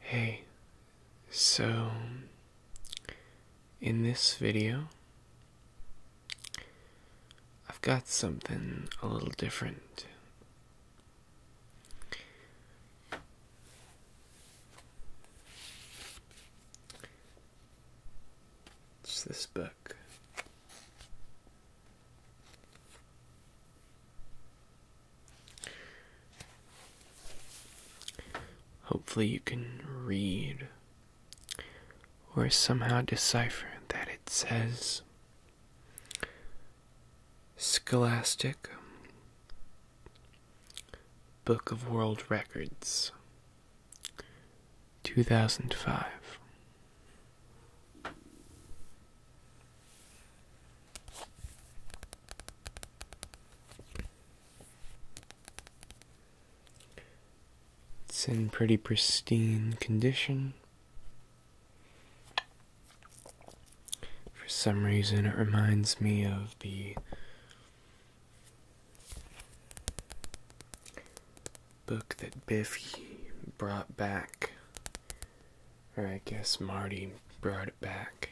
Hey, so in this video, I've got something a little different. It's this book. Hopefully, you can read or somehow decipher that it says Scholastic Book of World Records 2005 It's in pretty pristine condition. For some reason, it reminds me of the book that Biffy brought back. Or I guess Marty brought it back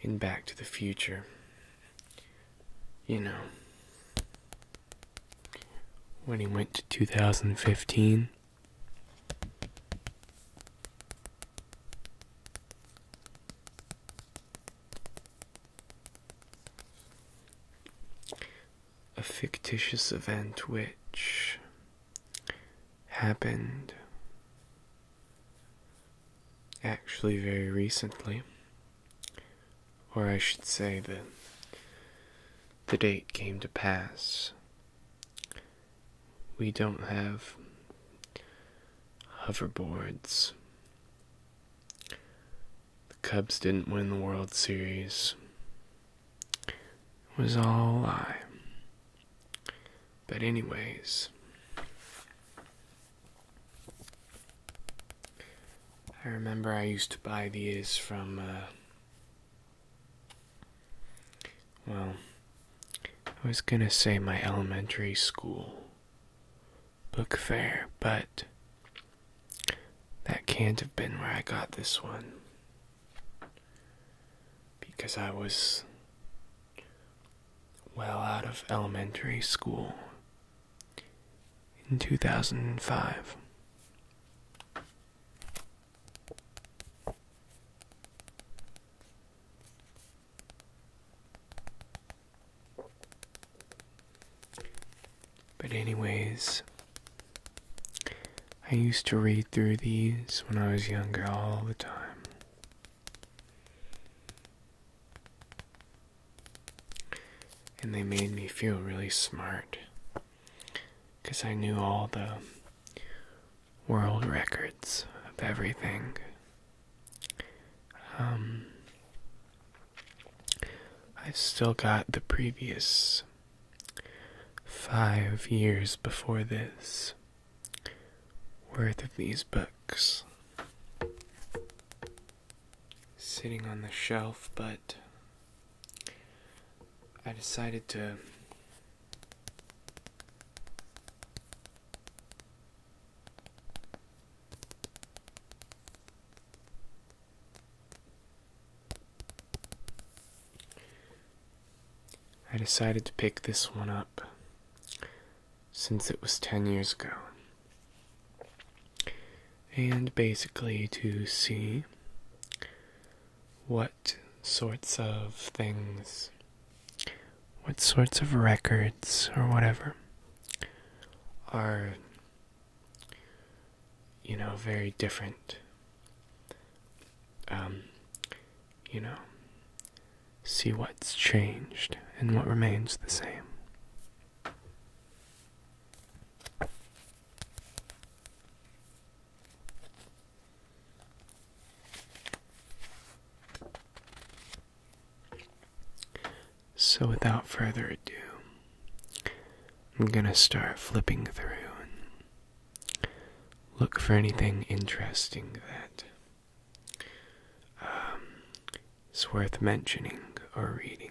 in Back to the Future. You know, when he went to 2015. A fictitious event which happened actually very recently, or I should say that the date came to pass we don't have hoverboards. The Cubs didn't win the World Series. It was all a lie. But, anyways, I remember I used to buy these from uh, well, I was gonna say my elementary school book fair, but that can't have been where I got this one. Because I was well out of elementary school in 2005. But, anyways, I used to read through these when I was younger all the time. And they made me feel really smart because I knew all the world records of everything. Um, I've still got the previous five years before this worth of these books sitting on the shelf, but I decided to I decided to pick this one up since it was 10 years ago. And basically to see what sorts of things what sorts of records or whatever are you know very different um you know see what's changed and what remains the same so, without further ado, I'm going to start flipping through and look for anything interesting that's um, worth mentioning or reading.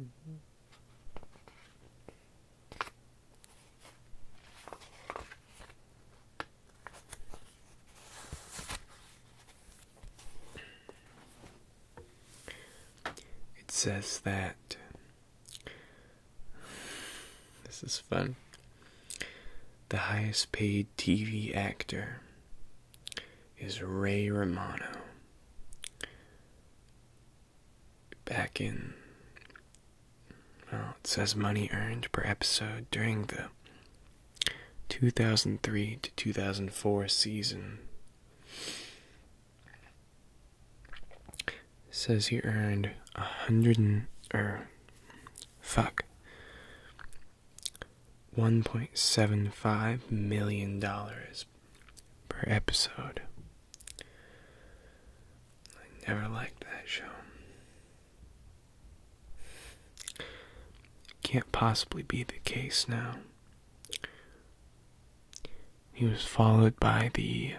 Mm-hmm. It says that this is fun. The highest paid TV actor is Ray Romano. Back in, well, it says money earned per episode during the 2003 to 2004 season. says he earned a hundred and, er, fuck, $1.75 million per episode. I never liked that show. Can't possibly be the case now. He was followed by the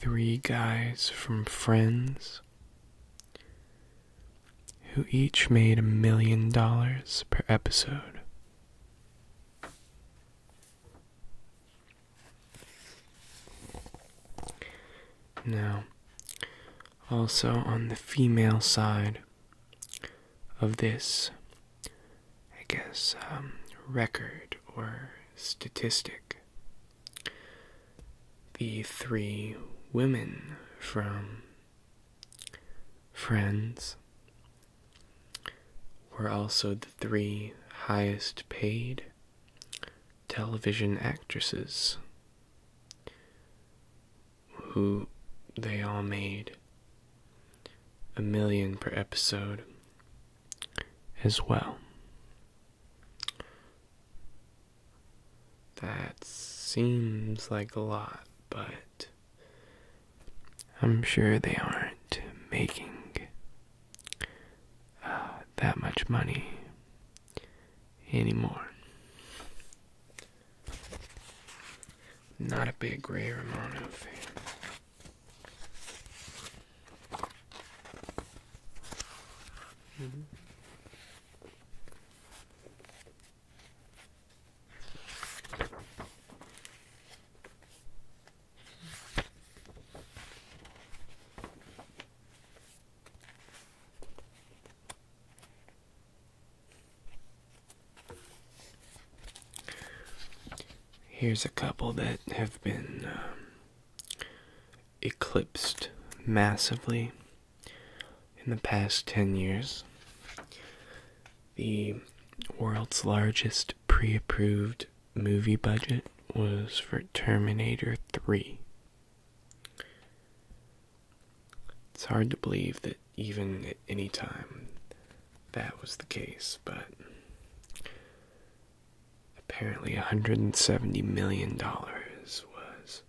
three guys from Friends who each made a million dollars per episode. Now, also on the female side of this, I guess, um, record or statistic, the three women from Friends were also the three highest paid television actresses who they all made a million per episode as well. That seems like a lot, but I'm sure they aren't making uh, that much money anymore. Not a big Ray Romano fan. Here's a couple that have been um, eclipsed massively in the past 10 years the world's largest pre approved movie budget was for Terminator 3. It's hard to believe that even at any time that was the case, but apparently $170 million was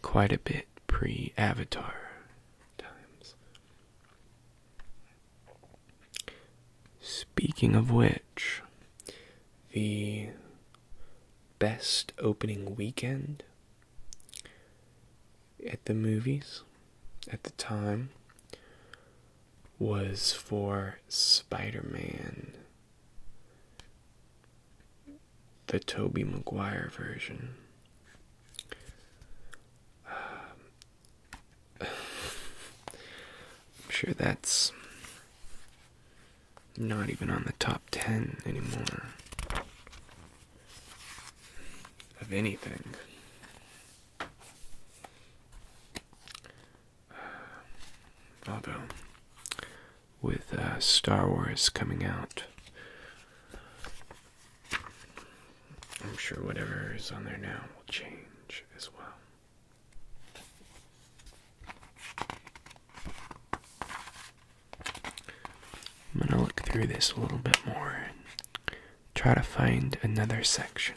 quite a bit pre Avatar times. Speaking of which, the best opening weekend at the movies at the time was for Spider Man the Toby Maguire version. I'm sure that's not even on the top 10 anymore of anything. Although, with uh, Star Wars coming out I'm sure whatever is on there now will change as well. I'm going to look through this a little bit more and try to find another section.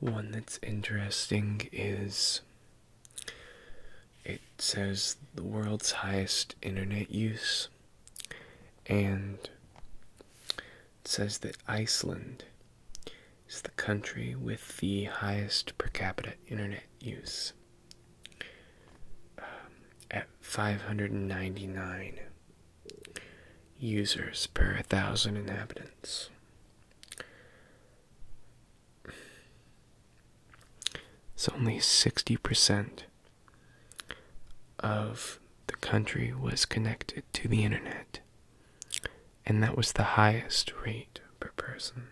One that's interesting is it says the world's highest internet use, and says that Iceland is the country with the highest per capita internet use um, at 599 users per thousand inhabitants. It's only 60% of the country was connected to the internet, and that was the highest rate per person.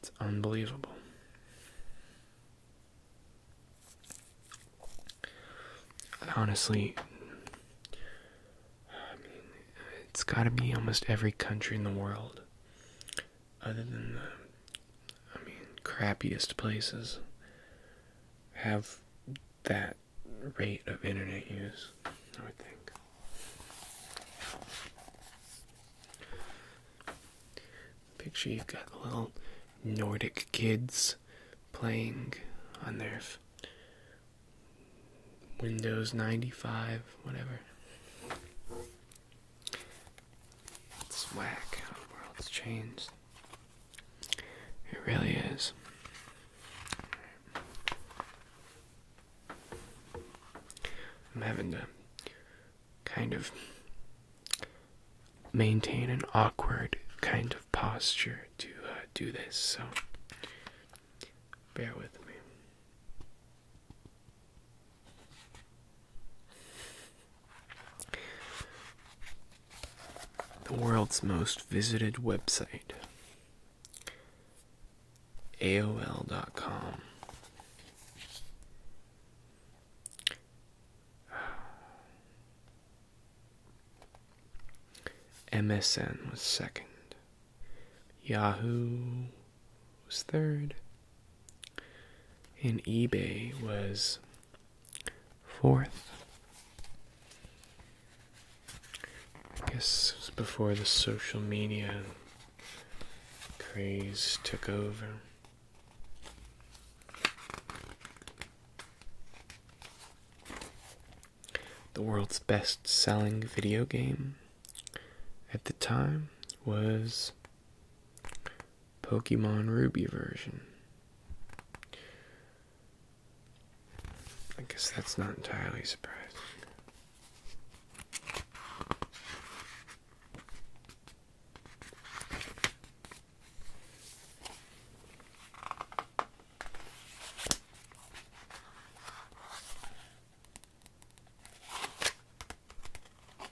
It's unbelievable. Honestly, it's got to be almost every country in the world other than the, I mean, crappiest places have that rate of internet use, I would think. Picture you've got little Nordic kids playing on their Windows 95, whatever. It's whack how the world's changed. It really is. I'm having to kind of maintain an awkward kind of posture to uh, do this, so bear with me. The world's most visited website AOL.com. MSN was second. Yahoo was third, and eBay was fourth. I guess before the social media craze took over. The world's best selling video game at the time was Pokemon Ruby version. I guess that's not entirely surprising.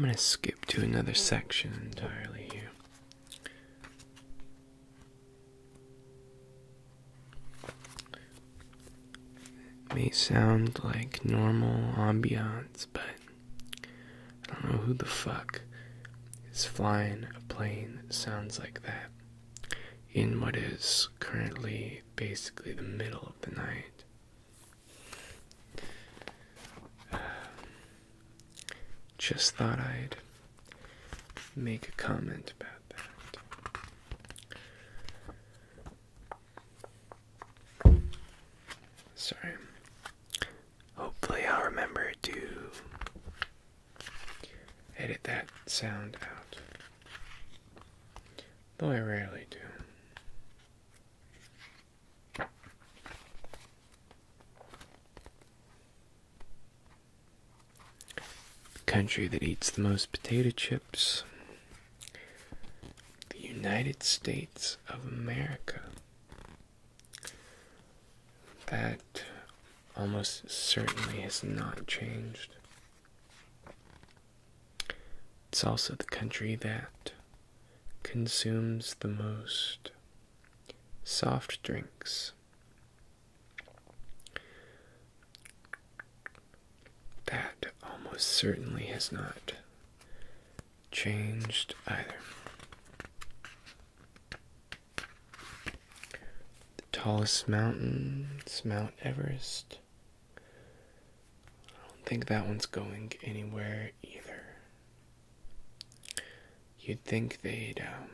I'm going to skip to another section entirely here may sound like normal ambiance, but I don't know who the fuck is flying a plane that sounds like that in what is currently basically the middle of the night. just thought I'd make a comment about that. Sorry. Hopefully, I'll remember to edit that sound out. Though I rarely do. Country that eats the most potato chips the United States of America. That almost certainly has not changed. It's also the country that consumes the most soft drinks. That almost certainly has not changed either. The tallest mountain is Mount Everest. I don't think that one's going anywhere either. You'd think they'd um,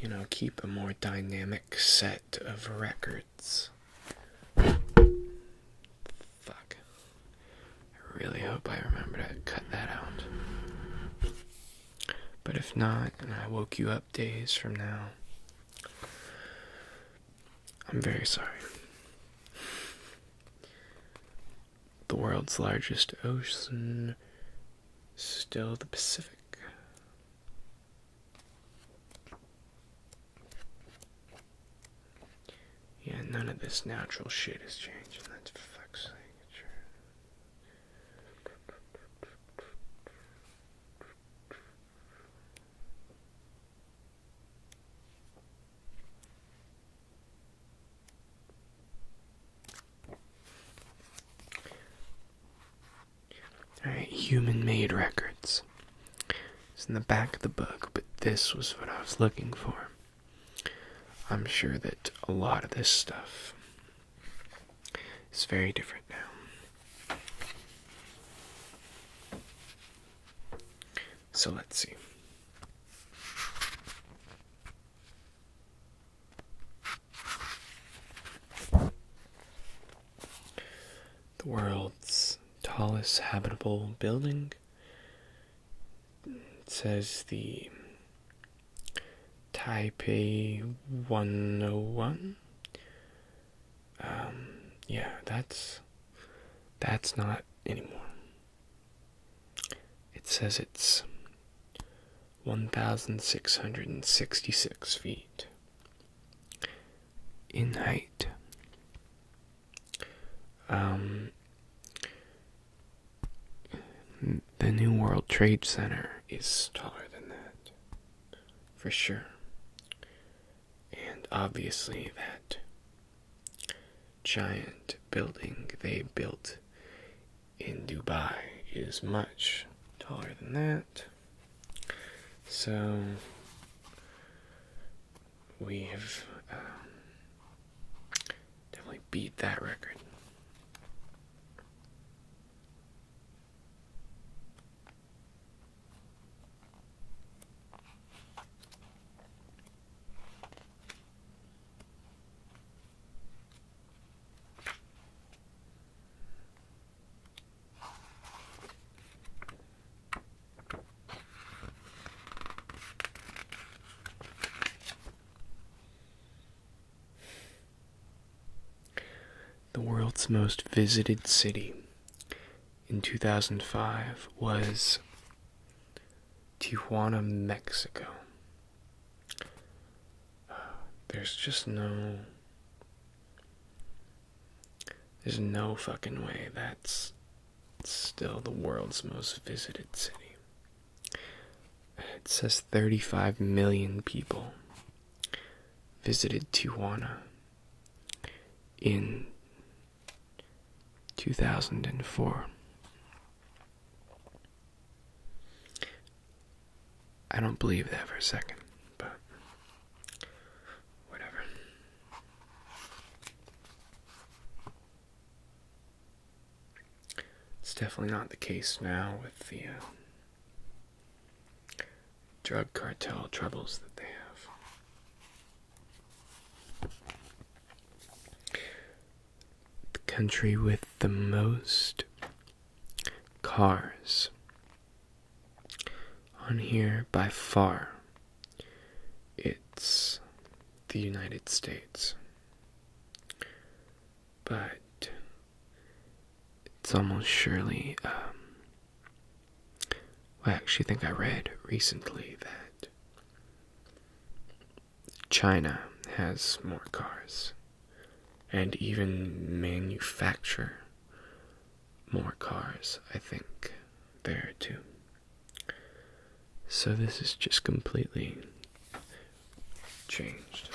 you know, keep a more dynamic set of records. Fuck. I really hope I remember to cut that out. But if not, and I woke you up days from now, I'm very sorry. The world's largest ocean, still the Pacific. Yeah, none of this natural shit is changing. That's fuck's sake. Alright, human made records. It's in the back of the book, but this was what I was looking for. I'm sure that a lot of this stuff is very different now. So let's see. The world's tallest habitable building. says the Taipei 101. Um, yeah, that's that's not anymore. It says it's 1,666 feet. In height, um, the New World Trade Center is taller than that, for sure. And obviously, that giant building they built in Dubai is much taller than that. So we have um, definitely beat that record. The world's most visited city in 2005 was Tijuana, Mexico. There's just no. There's no fucking way that's still the world's most visited city. It says 35 million people visited Tijuana in 2004. I don't believe that for a second, but whatever. It's definitely not the case now with the uh, drug cartel troubles that they have. The country with the most Cars. On here, by far, it's the United States. But it's almost surely. Um, I actually think I read recently that China has more cars and even manufacture more cars, I think, there too. So this is just completely changed.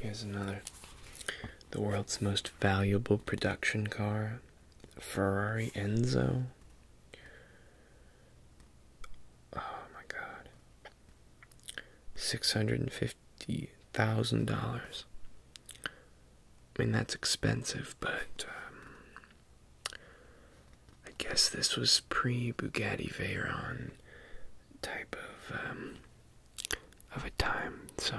Here's another the world's most valuable production car, Ferrari Enzo. Oh my god. Six hundred and fifty thousand dollars. I mean that's expensive, but um, I guess this was pre Bugatti Veyron type of um, of a time. So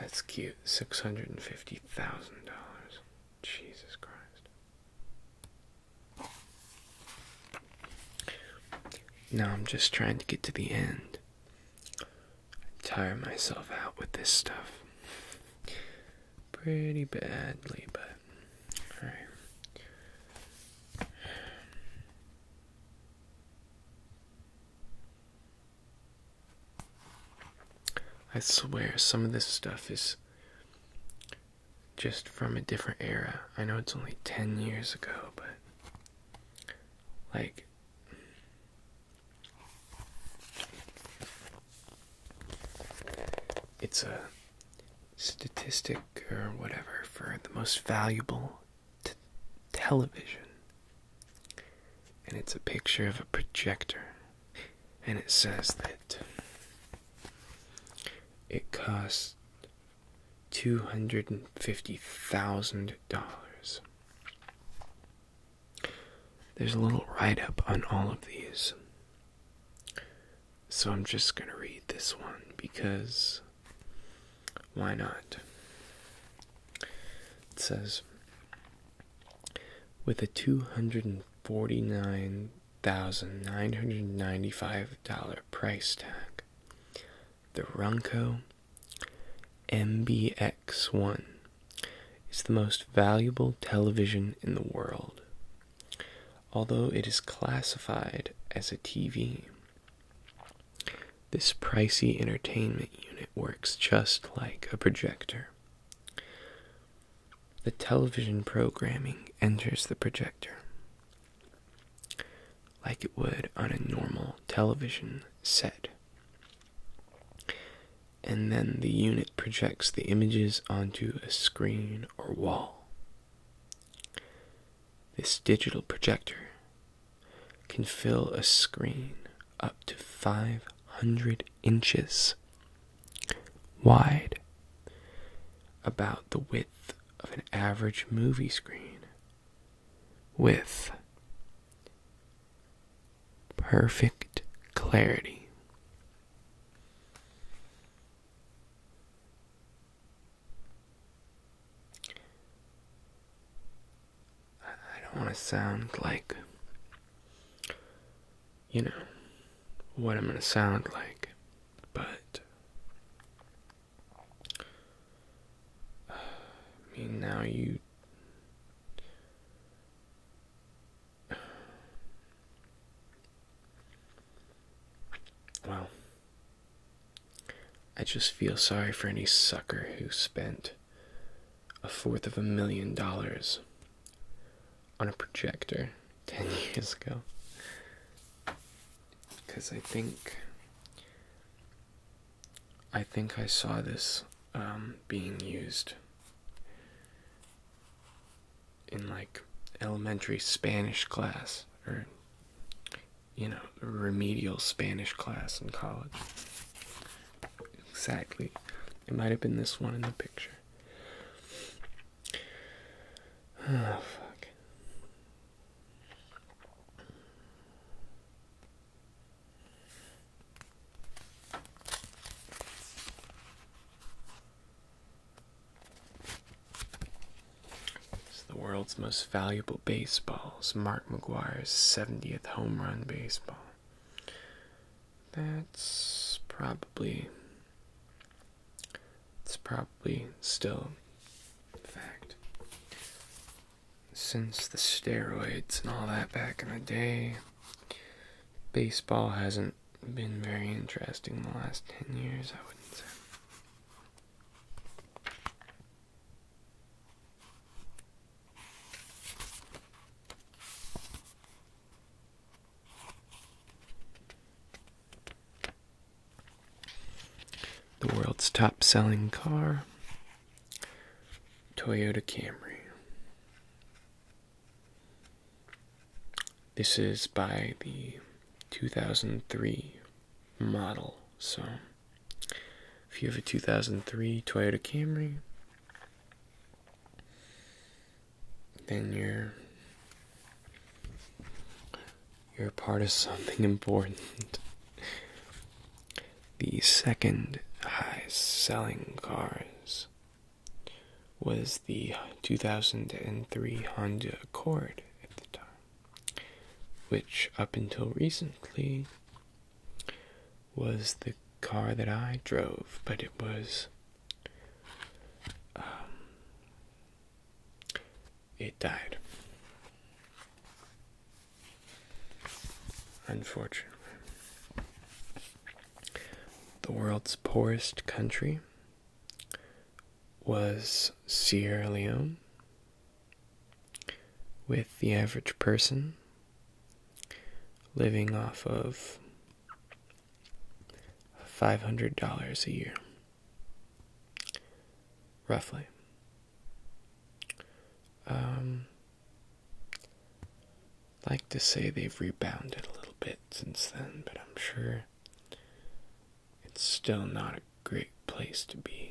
that's cute. Six hundred and fifty thousand dollars. Jesus Christ. Now I'm just trying to get to the end. I tire myself out with this stuff pretty badly, but alright. I swear some of this stuff is just from a different era. I know it's only 10 years ago, but like it's a statistic or whatever for the most valuable television. And it's a picture of a projector. And it says that it costs $250,000 there's a little write up on all of these. So I'm just going to read this one because why not? It says with a $249,995 price tag, the Runco MBX1 it's the most valuable television in the world, although it is classified as a TV. This pricey entertainment unit works just like a projector. The television programming enters the projector like it would on a normal television set and then the unit projects the images onto a screen or wall. This digital projector can fill a screen up to 500 inches wide, about the width of an average movie screen, with perfect clarity. I don't want to sound like, you know, what I'm going to sound like, but I mean, now you well, I just feel sorry for any sucker who spent a fourth of a million dollars on a projector 10 years ago. Because I think. I think I saw this um, being used in like elementary Spanish class or you know remedial Spanish class in college. Exactly. It might have been this one in the picture. Oh, fuck. It's the world's most valuable baseballs, Mark McGuire's 70th home run baseball. That's probably it's probably still fact. Since the steroids and all that back in the day, baseball hasn't been very interesting the last 10 years, I wouldn't say. The world's top selling car, Toyota Camry. This is by the 2003 model, so if you have a 2003 Toyota Camry, then you're you're part of something important. the second highest selling cars was the 2003 Honda Accord at the time, which up until recently was the car that I drove, but it was. Um, it died. Unfortunately. The world's poorest country was Sierra Leone, with the average person living off of $500 a year, roughly. Um, like to say they've rebounded a little bit since then, but I'm sure it's still not a great place to be.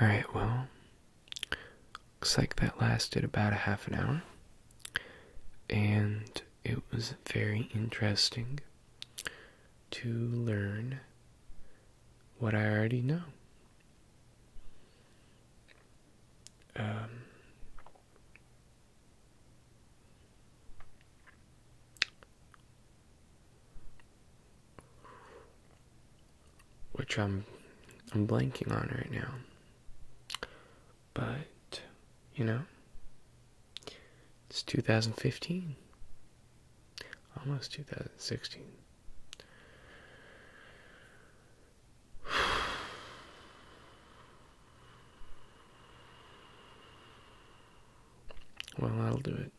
Alright, well, looks like that lasted about a half an hour, and it was very interesting to learn what I already know. Um, which I'm I'm blanking on right now. But you know, it's 2015. Almost 2016. Well, i will do it.